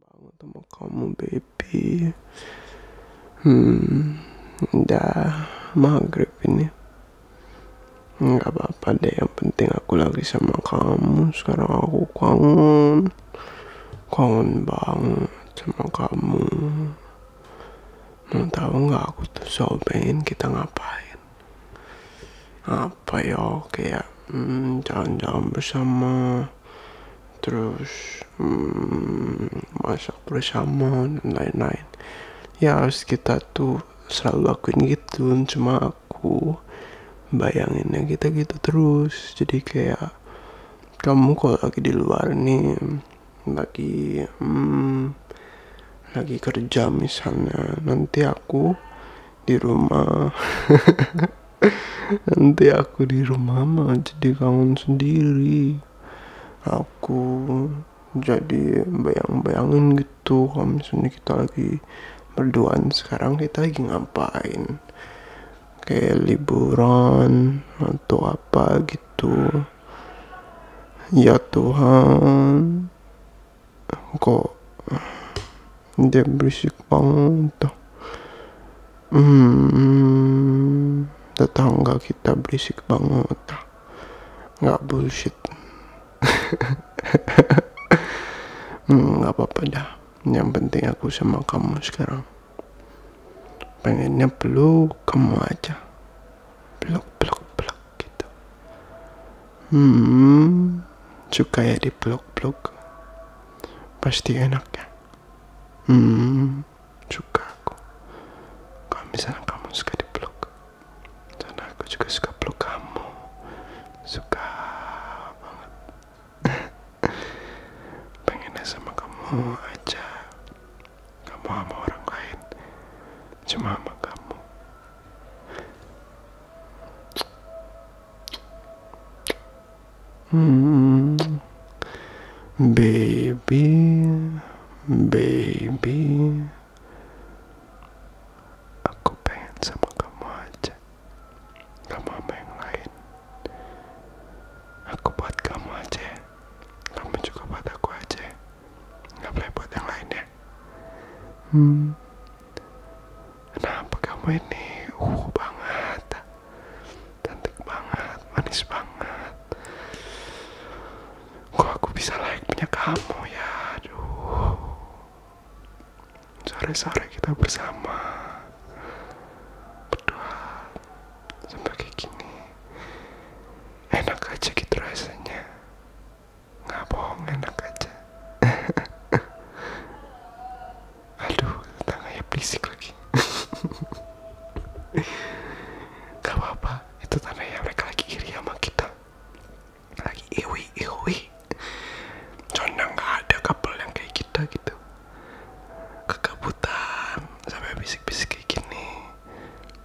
Bangun sama kamu baby hmm udah maghrib ini nggak apa-apa deh yang penting aku lagi sama kamu sekarang aku kangen kangen banget sama kamu Mau tahu nggak aku tuh selalu pengen kita ngapain? Apa ya kayak hmm, jalan-jalan bersama, terus hmm, masak bersama dan lain-lain. Ya harus kita tuh selalu lakuin gitu, cuma aku bayanginnya kita gitu terus. Jadi kayak kamu kalau lagi di luar nih lagi hmm, lagi kerja misalnya nanti aku di rumah nanti aku di rumah mah jadi kangen sendiri aku jadi bayang-bayangin gitu kalau misalnya kita lagi berduaan sekarang kita lagi ngapain kayak liburan atau apa gitu ya Tuhan kok dia berisik banget hmm, tetangga kita berisik banget nggak bullshit hmm, nggak hmm, apa-apa dah yang penting aku sama kamu sekarang pengennya peluk kamu aja peluk peluk peluk gitu hmm suka ya di peluk peluk pasti enak ya hmm suka aku kalau misalnya kamu suka di peluk dan aku juga suka peluk kamu suka banget pengen sama kamu aja kamu sama orang lain cuma sama kamu hmm. baby baby aku pengen sama kamu aja kamu sama yang lain aku buat kamu aja kamu juga buat aku aja Gak boleh buat yang lain ya hmm kenapa kamu ini uh banget cantik banget manis banget kok aku bisa layak punya kamu ya aduh sore-sore kita bersama berdoa sampai kayak gini enak aja kita gitu rasanya nggak bohong enak aja aduh tangannya berisik lagi gak apa-apa itu tandanya mereka lagi iri sama kita lagi iri iri. Condang gak ada couple yang kayak kita gitu Kegabutan Sampai bisik-bisik kayak gini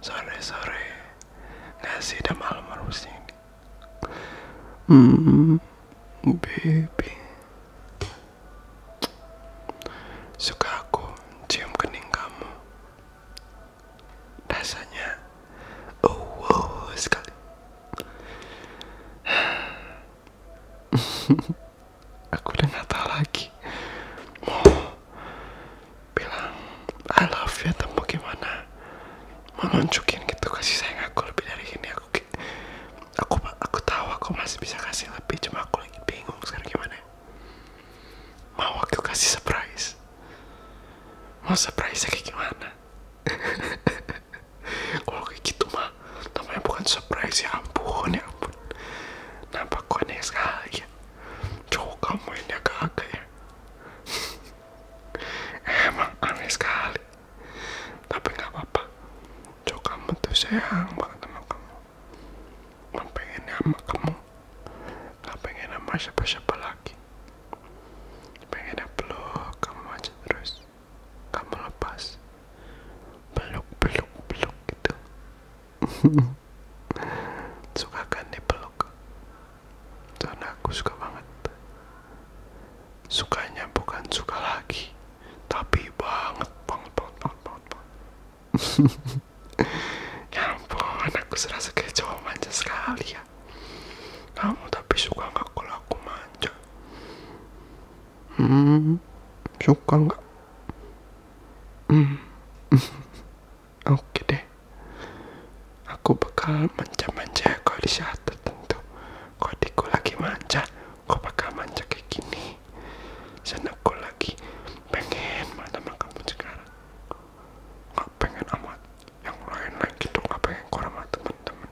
Sore-sore Nggak sih udah malam harusnya ini Hmm Baby Suka aku cium kening kamu Rasanya Oh wow sekali aku udah nggak tahu lagi mau bilang I love you atau mau gimana mau nunjukin gitu kasih sayang aku lebih dari ini aku aku aku tahu aku masih bisa kasih lebih cuma aku lagi bingung sekarang gimana mau aku kasih surprise mau surprise kayak gimana kalau kayak gitu mah namanya bukan surprise ya ampun ya ampun nampak konek sekali ya cowok kamu ini agak-agak ya emang aneh sekali tapi nggak apa-apa cowok kamu tuh sayang banget sama kamu nggak pengen sama kamu nggak pengen sama siapa-siapa lagi pengen peluk kamu aja terus kamu lepas peluk peluk peluk gitu suka kan nih peluk karena aku suka banget sukanya bukan suka lagi tapi banget banget banget banget banget, banget. ya ampun aku serasa kayak cowok manja sekali ya kamu tapi suka nggak kalau aku manja? Hmm, suka nggak? Hmm. Oke deh. Aku bakal manja-manja ya kau di saat tertentu. Kau adikku lagi manja, kau bakal manja kayak gini. Sana aku lagi pengen malam kamu sekarang. Gak pengen amat yang lain lagi tuh nggak pengen keluar sama teman temen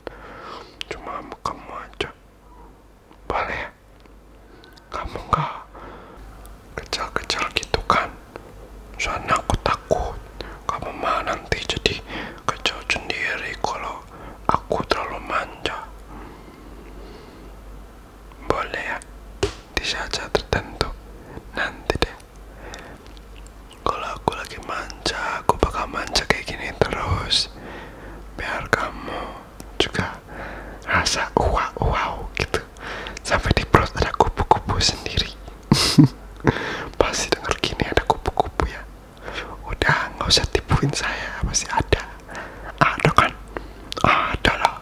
cuma kamu aja boleh ya kamu nggak kecil-kecil gitu kan soalnya aku takut kamu mah nanti jadi kecil sendiri kalau aku terlalu manja boleh ya di saat tertentu nanti deh kalau aku lagi manja, aku bakal manja kayak gini terus Biar kamu juga rasa wow wow gitu Sampai di perut ada kupu-kupu sendiri Pasti dengar gini ada kupu-kupu ya Udah nggak usah tipuin saya, masih ada Ada kan? Ada lah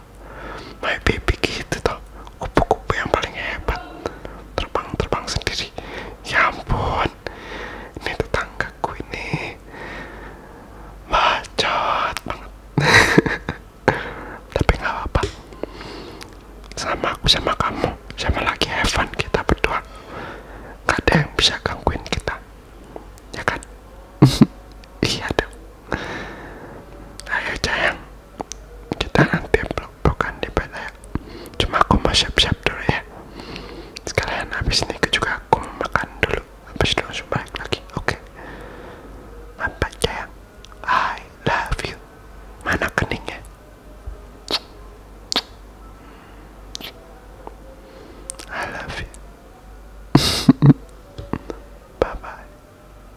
My baby gitu toh kupu-kupu yang paling hebat terbang-terbang sendiri ya ampun ini tetangga ku ini bacot banget tapi nggak apa-apa sama aku sama kamu sama lagi Evan kita berdua gak ada yang bisa gangguin kita ya kan iya dong ayo sayang kita nanti bukan di ya cuma aku mau siap-siap dulu ya sekalian habis ini juga aku makan dulu habis itu langsung balik lagi oke okay. apa ya. sayang I love you mana keningnya I love you bye bye